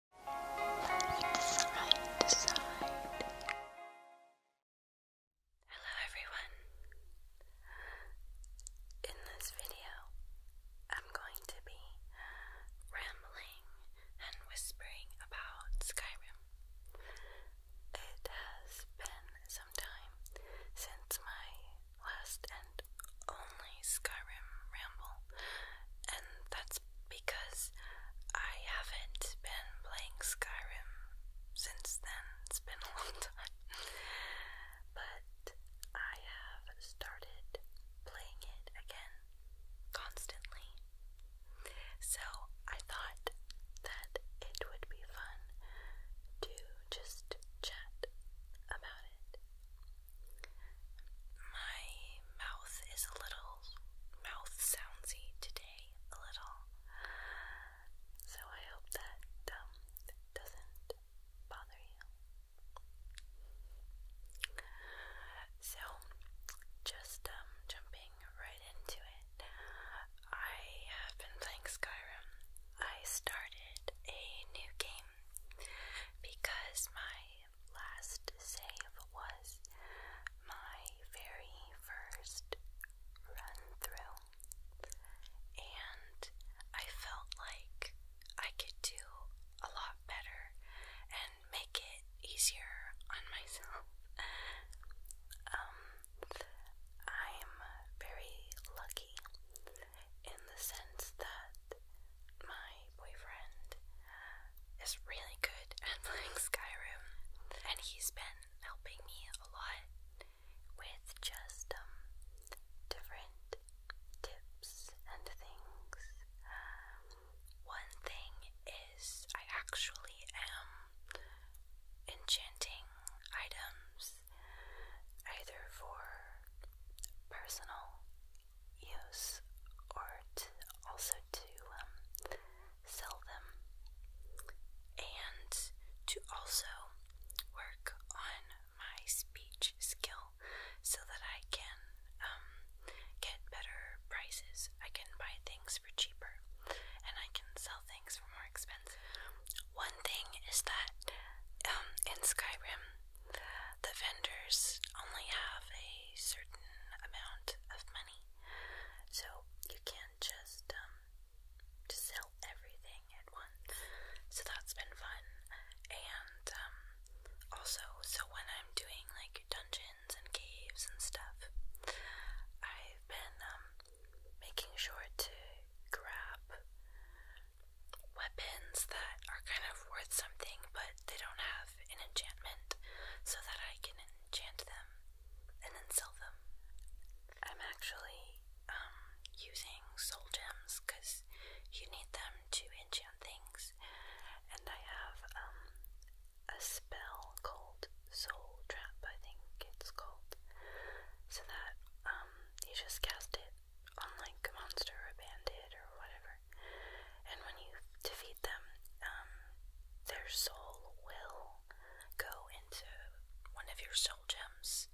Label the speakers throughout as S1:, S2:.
S1: Hello everyone. In this video, I'm going to be rambling and whispering about Skyrim. It has been some time since my last and only Skyrim ramble, and that's because I haven't been playing Skyrim since then. It's been a long time. but I have started playing it again constantly. So I thought that it would be fun to just chat about it my mouth is a little mouth soundsy today, a little. So I hope that um, doesn't bother you. So, just um, jumping right into it, I have been playing Skyrim. I started a new game because my last save was my very first run through, and I felt like I could do a lot better and make it easier on myself. um, I'm very lucky in the sense that my boyfriend is really good at playing Skyrim, and he's been helping me a lot with just um, different tips and things. one thing is, I actually am enchanting items either for personal use or also to um, sell them and to also work on my speech skill so that I can um, get better prices. I can buy things for cheaper and I can sell things for more expensive. One thing is that um, in Skyrim the vendors only have a certain amount of money, so you can't just um, sell everything at once. So that's been fun, and um, also so when I'm doing like dungeons and caves and stuff, I've been um, making sure to grab weapons that are kind of worth something but they don't have an enchantment so that I can enchant them and then sell them. I'm actually um, using soul gems because you need them to enchant things, and I have um, a spell called Soul Trap, I think it's called, so that um, you just cast it on like a monster or a bandit or whatever and when you defeat them, um, their soul will go into one of your soul gems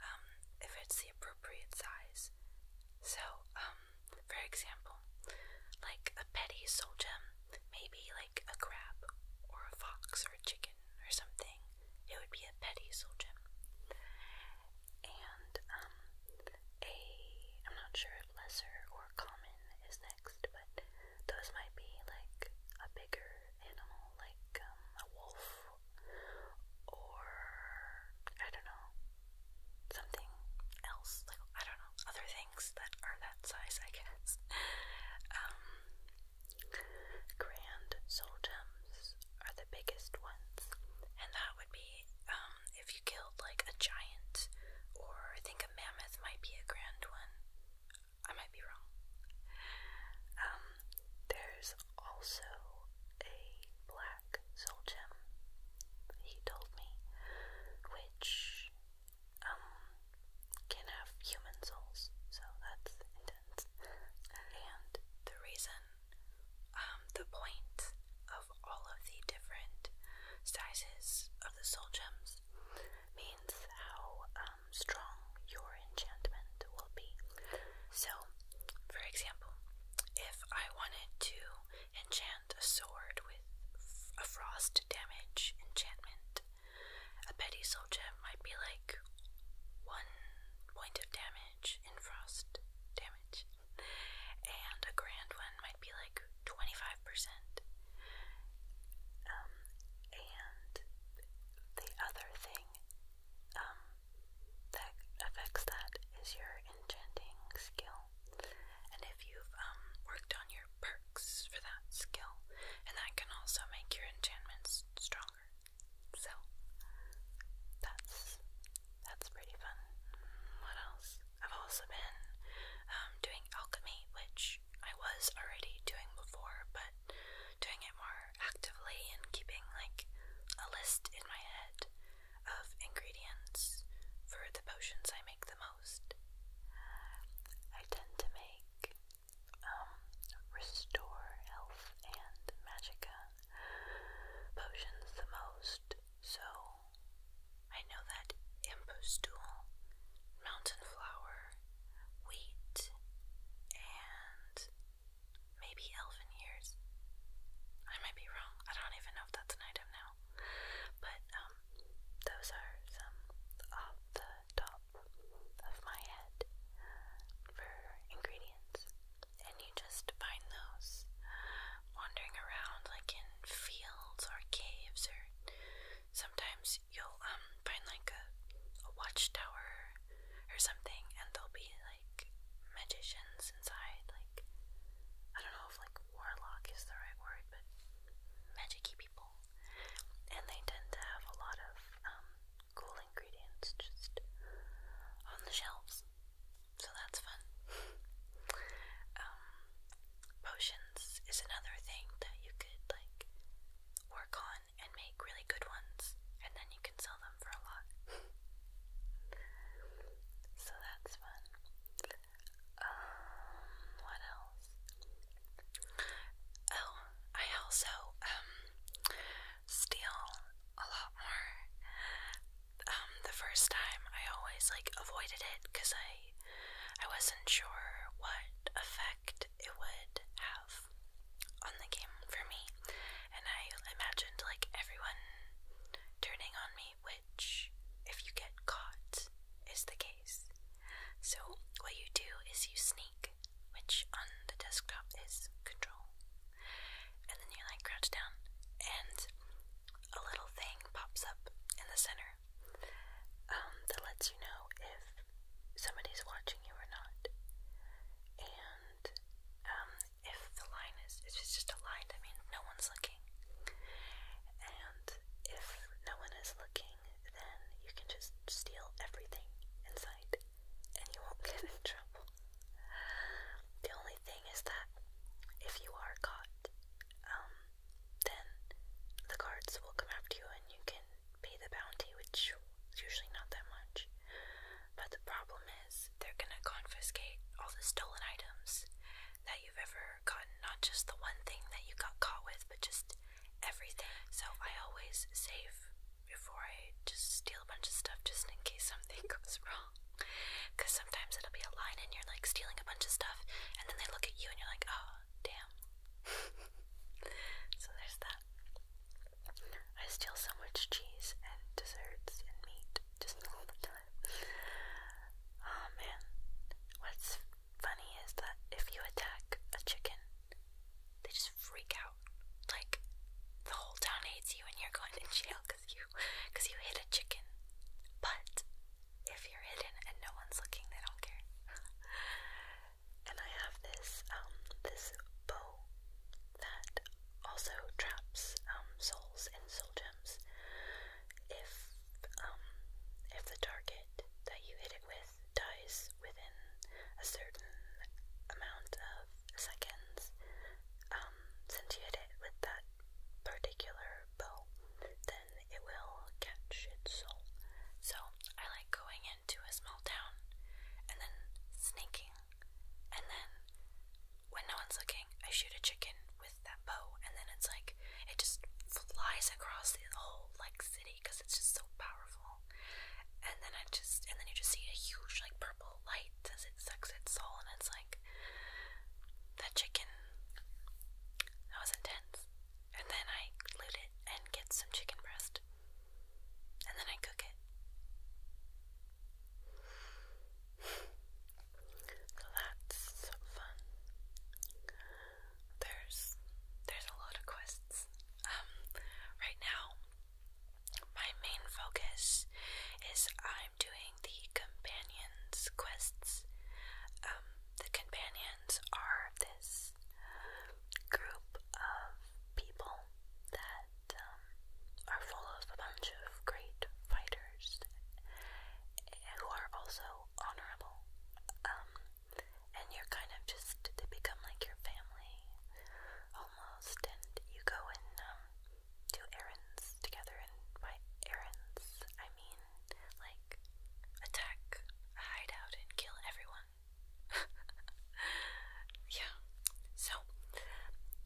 S1: um, if it's the appropriate size. So, um, for example, like a petty soul gem, maybe like a crab or a fox or a chicken or something, it would be a petty soul gem and um, a I'm not sure lesser or common is next, but those might be like a bigger animal, like um, a wolf or I don't know something else, like I don't know other things that are that size, I guess. Um, grand soul are the biggest ones, and that would be if you killed like a giant, or I think a mammoth might be a grand one. I might be wrong. Um, there's also a black soul gem, he told me, which um, can have human souls, so that's intense. and the reason um, the point of all of the different sizes of the soul gems means how um, strong your enchantment will be. So, for example, if I wanted to enchant a sword with a frost damage enchantment, a petty soul gem might be like one point of damage in frost damage and a grand one might be like 25%. Um, and the other thing um, that affects that is your enchanting skill. And if you've um, worked on your perks for that skill, and that can also make your enchantments stronger. So that's that's pretty fun. What else? I've also been um, doing alchemy, which I was already doing before, but doing it more actively and keeping like a list in my head of ingredients for the potions I make the most. I tend to make um, restore health and magicka potions the most so I know that Impostool, mountain flower, wheat, and maybe elfin ears. I might be wrong. I don't even know if that's an item now. But um, those are some off the top of my head for ingredients and you just find those wandering around like in fields or caves or sometimes you'll um, find like a, watchtower or something and there'll be like magicians inside like I don't know if like warlock is the right word but magicy people and they tend to have a lot of um, cool ingredients just on the shelves so that's fun. Um, potions is another thing that you could like work on and make really good ones, and then you can sell them for a lot. so that's fun. Um, what else? Oh, I also um, steal a lot more um, the first time I always like avoided it because I I wasn't sure what effect it would have on the game for me, and I imagined like everyone turning on me, which if you get caught is the case. So what you do is you sneak, which on the desktop is control, and then you like crouch down and a little thing pops up in the center um, that lets you know if somebody's watching you or not. And um, if the line is, if it's just a line, I mean, no one's looking. And if no one is looking, then you can just steal everything in sight and you won't get in trouble. The only thing is that if you are caught, um, then the guards will come after you and you can pay the bounty, which is usually not that much. But the problem is, they're gonna confiscate all the stolen items that you've ever gotten, not just the one thing that you got caught with, but just everything. So I always save before I just steal a bunch of stuff just in case something goes wrong. Because sometimes it'll be a line and you're like stealing a bunch of stuff, and then they look at you and you're like, oh, damn. so there's that. I steal so much cheese and desserts and meat just all the time. Oh man. What's funny is that if you attack a chicken, they just freak out. Like, the whole town hates you and you're going to jail because you hit a chicken. But if you're hidden and no one's looking, they don't care. and I have this um, this bow that also traps um, souls and soul gems. If um, if the target that you hit it with dies within a certain amount of seconds, since you hit it with that particular bow, then it will catch its soul. So I like going into a small town and then sneaking, and then when no one's looking, I shoot a chicken with that bow, and then it's like it just flies across the whole like city because it's just so powerful. And then I just, and then you just see a huge like light as it sucks its soul, and it's like that chicken. That was intense. And then I loot it and get some chicken breast, and then I cook it. So that's fun. There's there's a lot of quests. Um, right now, my main focus is I'm doing the companions quests. Um, the companions are this group of people that um, are full of a bunch of great fighters who are also honorable. Um, and you're kind of just, they become like your family almost, and you go and do errands together, and by errands, I mean like attack hide out, and kill everyone. yeah, so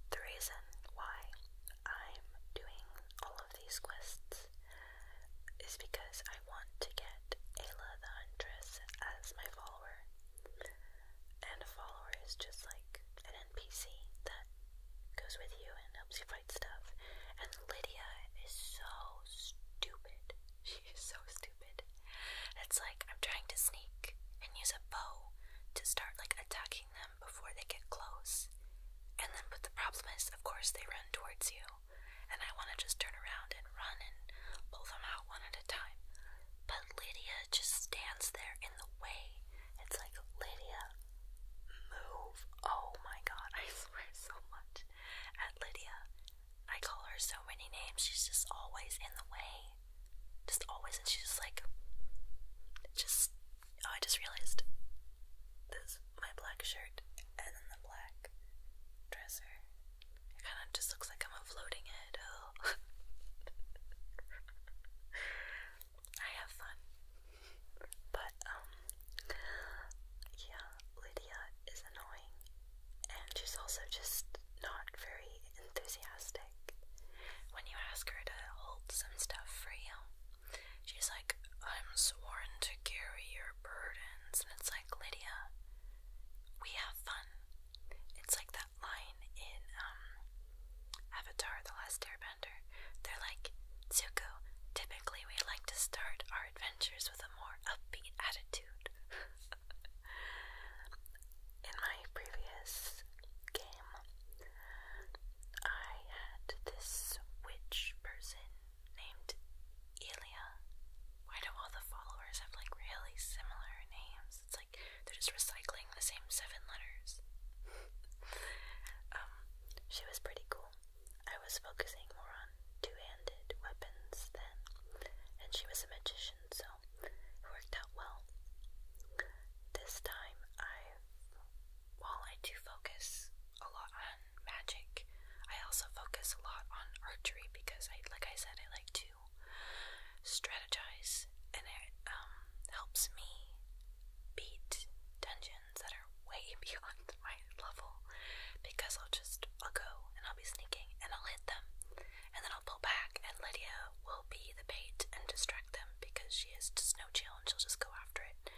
S1: the reason why I'm doing all of these quests is because I want to get Ayla the Huntress as my follower. And a follower is just like an NPC that goes with you and helps you fight stuff. And Lydia is so stupid. She is so stupid. It's like I'm trying to sneak and use a bow to start like attacking them before they get close. And then but the problem is of course they run towards you and I wanna just turn around and run and pull them out one at a time. But Lydia just stands there in the way it's like, Lydia, move. Oh my god, I swear so much at Lydia. I call her so many names. She's just always in the way. Just always, and she's just like, just, oh, I just realized this, my black shirt, and then the black dresser. It kind of just looks like I'm a floating head. Oh. I have fun. But, um, yeah, Lydia is annoying. And she's also just not very enthusiastic. When you ask her to hold some stuff for you, she's like, I'm sworn to carry your burdens. And it's like, Lydia, we have fun. It's like that line in, um, Avatar The Last Airbender, they're like, Zuko. typically we like to start our adventures with a more upbeat attitude. In my previous game, I had this witch person named Elia. Why do all the followers have like really similar names? It's like they're just recycling the same seven letters. um, she was pretty cool. I was focusing more on two-handed weapons then, and she was a magician, so worked out well. This time, I, while I do focus a lot on magic, I also focus a lot on archery because I, like I said, I like to strategize, and it um, helps me beat dungeons that are way beyond my level because I'll just I'll go and I'll be sneaking and I'll hit them and then I'll pull back and Lydia will be the bait and distract them because she is just no chill and she'll just go after it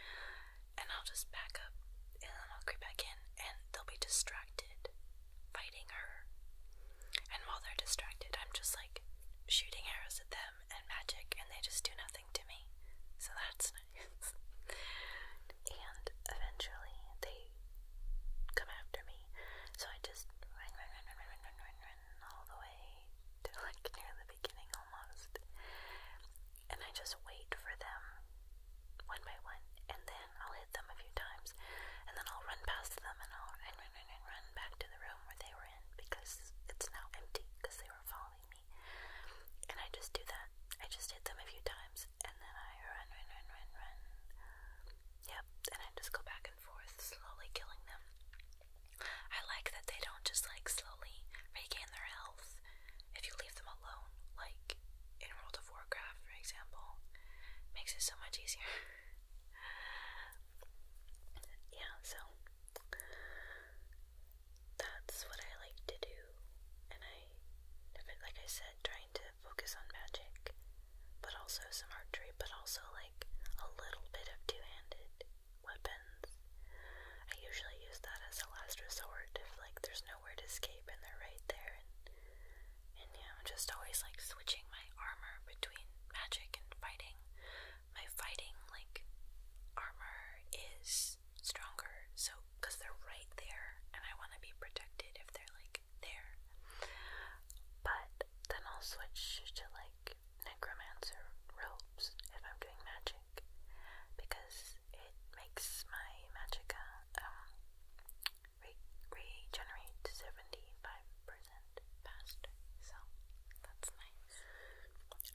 S1: and I'll just back up and then I'll creep back in and they'll be distracted fighting her and while they're distracted I'm just like shooting arrows at them them and magic, and they just do nothing to me. So that's nice. and eventually they come after me. So I just run, run, run, run, run, run, run, run all the way to like near the beginning almost. And I just wait for them one by one, and then I'll hit them a few times, and then I'll run past them and I'll run, run, and run back to the room where they were in because it's now empty because they were following me. And I just do that. I just hit them a few times and then I run, run, run, run, run. Yep, and I just go back and forth, slowly killing them. I like that they don't just like slowly regain their health if you leave them alone, like in World of Warcraft, for example. Makes it so much easier. yeah, so that's what I like to do, and I, like I said, trying to focus on magic, but also some archery, but also like a little bit of two-handed weapons. I usually use that as a last resort if like there's nowhere to escape and they're right there, and and yeah, I'm just always like switching my armor between magic and fighting my fighting like armor is stronger. So because they're right there, and I want to be protected if they're like there. But then I'll switch to like necromancer robes if I'm doing magic, because it makes my magicka uh, um re regenerate 75% faster, so that's nice.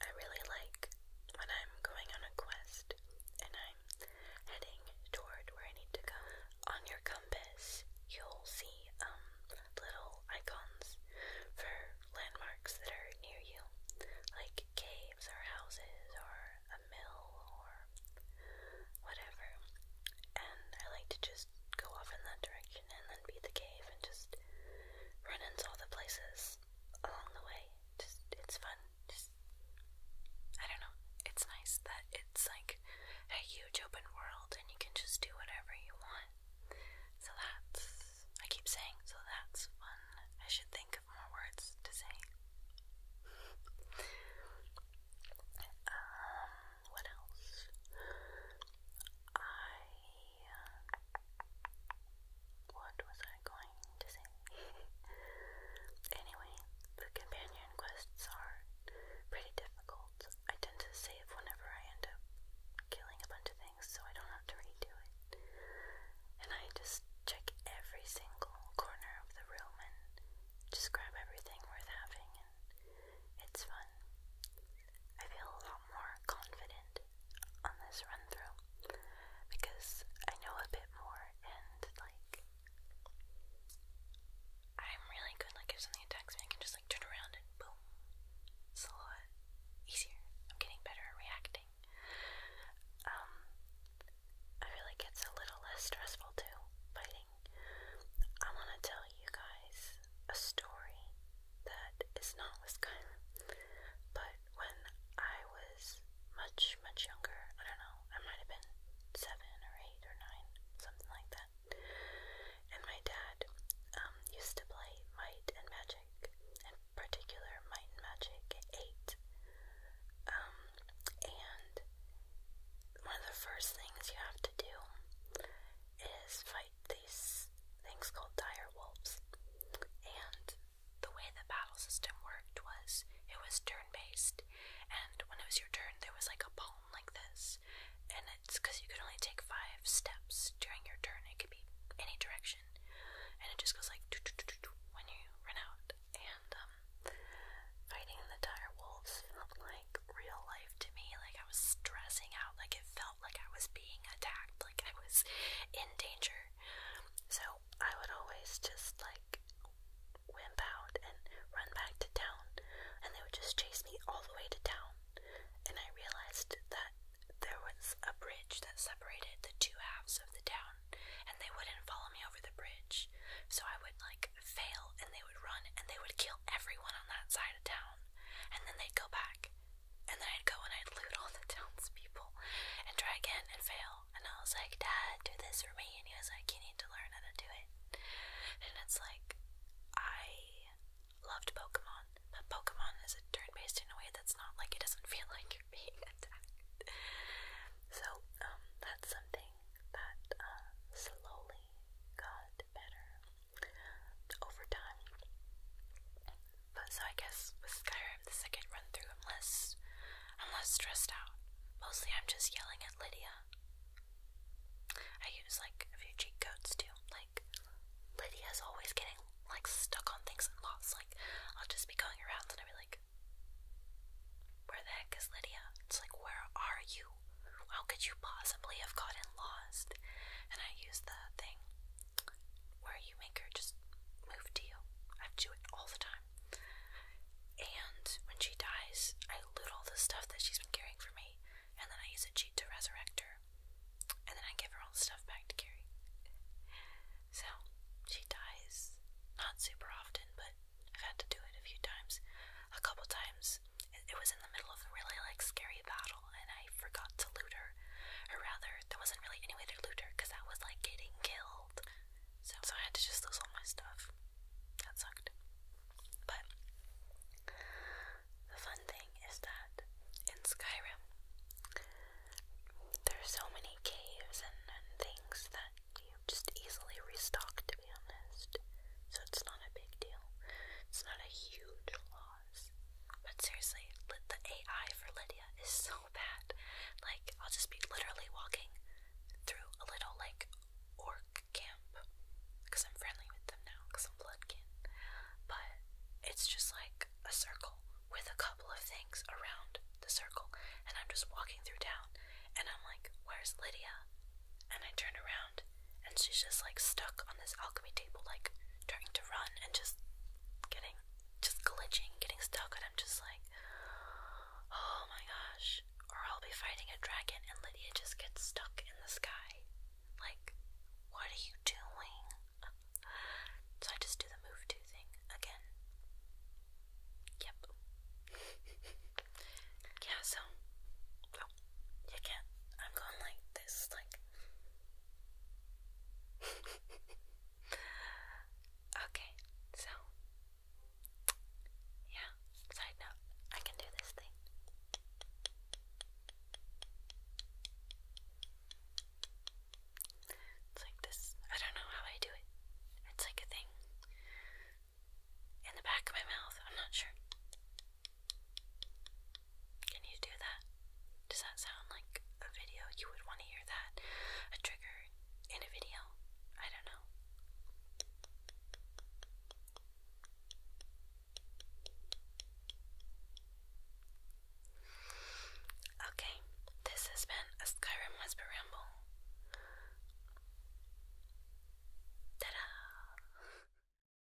S1: I really like when I'm going on a quest and I'm heading toward where I need to go. On your compass, you'll see um little icons for landmarks that are near you, like caves or houses or a mill or whatever. And I like to just go off in that direction and then beat the cave and just run into all the places along the way. Just it's fun. Just I don't know. It's nice that it's like a huge open world and you can just do whatever you want. So that's I keep saying so that's fun. I should think of more words to say. um what else? I what was I going to say? anyway, the companion quests are pretty difficult. I tend to save whenever I end up killing a bunch of things so I don't have to redo it. And I just check every single corner of the room and just grab everything worth having it's fun. I feel a lot more confident on this run through because I know a bit more and like I'm really good like if something attacks me I can just like turn around and boom. It's a lot easier. I'm getting better at reacting. Um I feel like it's a little less stressful too, fighting. I wanna tell you guys a story that is not Wisconsin. But when I was much, much younger, I don't know, I might have been seven or eight or nine, something like that. And my dad um, used to play Might and Magic, in particular Might and Magic 8. Um, and one of the first things you have to do is fight these things called dire wolves. And the way the battle system worked was it was turn based, and when it was your turn, there was like a palm like this. And it's because you could only take five steps during your turn, it could be any direction. And it just goes like doo -doo -doo -doo -doo when you run out. And um, fighting the dire wolves felt like real life to me. Like I was stressing out, like it felt felt like I was being attacked, like I was in danger. So I would always just like wimp out and run back to town, and they would just chase me all the way to town. And I realized that there was a bridge that separated the two halves of the town, and they wouldn't follow me over the bridge. So I would like fail, and they would run, and they would kill everyone on that side of town, and then they'd go back. And then I'd go and I'd loot all the townspeople and try again and fail. And I was like, Dad, do this for me. And he was like, You need to learn how to do it. And it's like, I loved Pokemon, but Pokemon is a turn based in a way that's not like it doesn't feel like you're being attacked. So, um, that's something that uh, slowly got better over time. But so I guess with Skyrim, the second run through, I'm less, I'm less stressed out. Mostly I'm just yelling at Lydia. I use like a few cheat codes too. Like, Lydia's always getting like stuck on things and lost. Like, I'll just be going around and I'll be like, Where the heck is Lydia? It's like, Where are you? How could you you possibly have gotten lost? And I use the thing where you make her just move to you. I do it all the time. And when she dies, I loot all the stuff that she's been carrying for me, and then I use a cheat to resurrect her, and then I give her all the stuff back to carry. So she dies, not super often, but I've had to do it a few times. A couple times, it, was in the middle of a really like scary battle, and I forgot to loot her. Or rather, there wasn't really any way to loot her because I was like getting killed. So, so I had to just lose all my stuff. That sucked. But the fun thing is that in Skyrim, there are so many caves and, and things that you just easily restock, to be honest. So it's not a big deal. It's not a huge loss. But seriously, the AI for Lydia is so bad. Like, I'll just be literally walking through a little, like, orc camp. Because I'm friendly with them now, because I'm blood kin. But it's just like a circle with a couple of things around the circle. And I'm just walking through town. And I'm like, where's Lydia? And I turn around and she's just like stuck on this alchemy table, like trying to run and just getting, just glitching, getting stuck. And I'm just like, oh my gosh. Or I'll be fighting a dragon, and Lydia just gets stuck in the sky. Like, what are you doing? So I just do the move to thing again. Yep. yeah, so. you can't. I'm going like this, like, okay, so yeah, side note, I can do this thing. It's like this. I don't know how I do it. It's like a thing in the back of my mouth. I'm not sure. Can you do that? Does that sound like a video? You would want to hear that. A trigger in a video? I don't know. Okay, this has been a Skyrim Whisper Ramble. Ta da!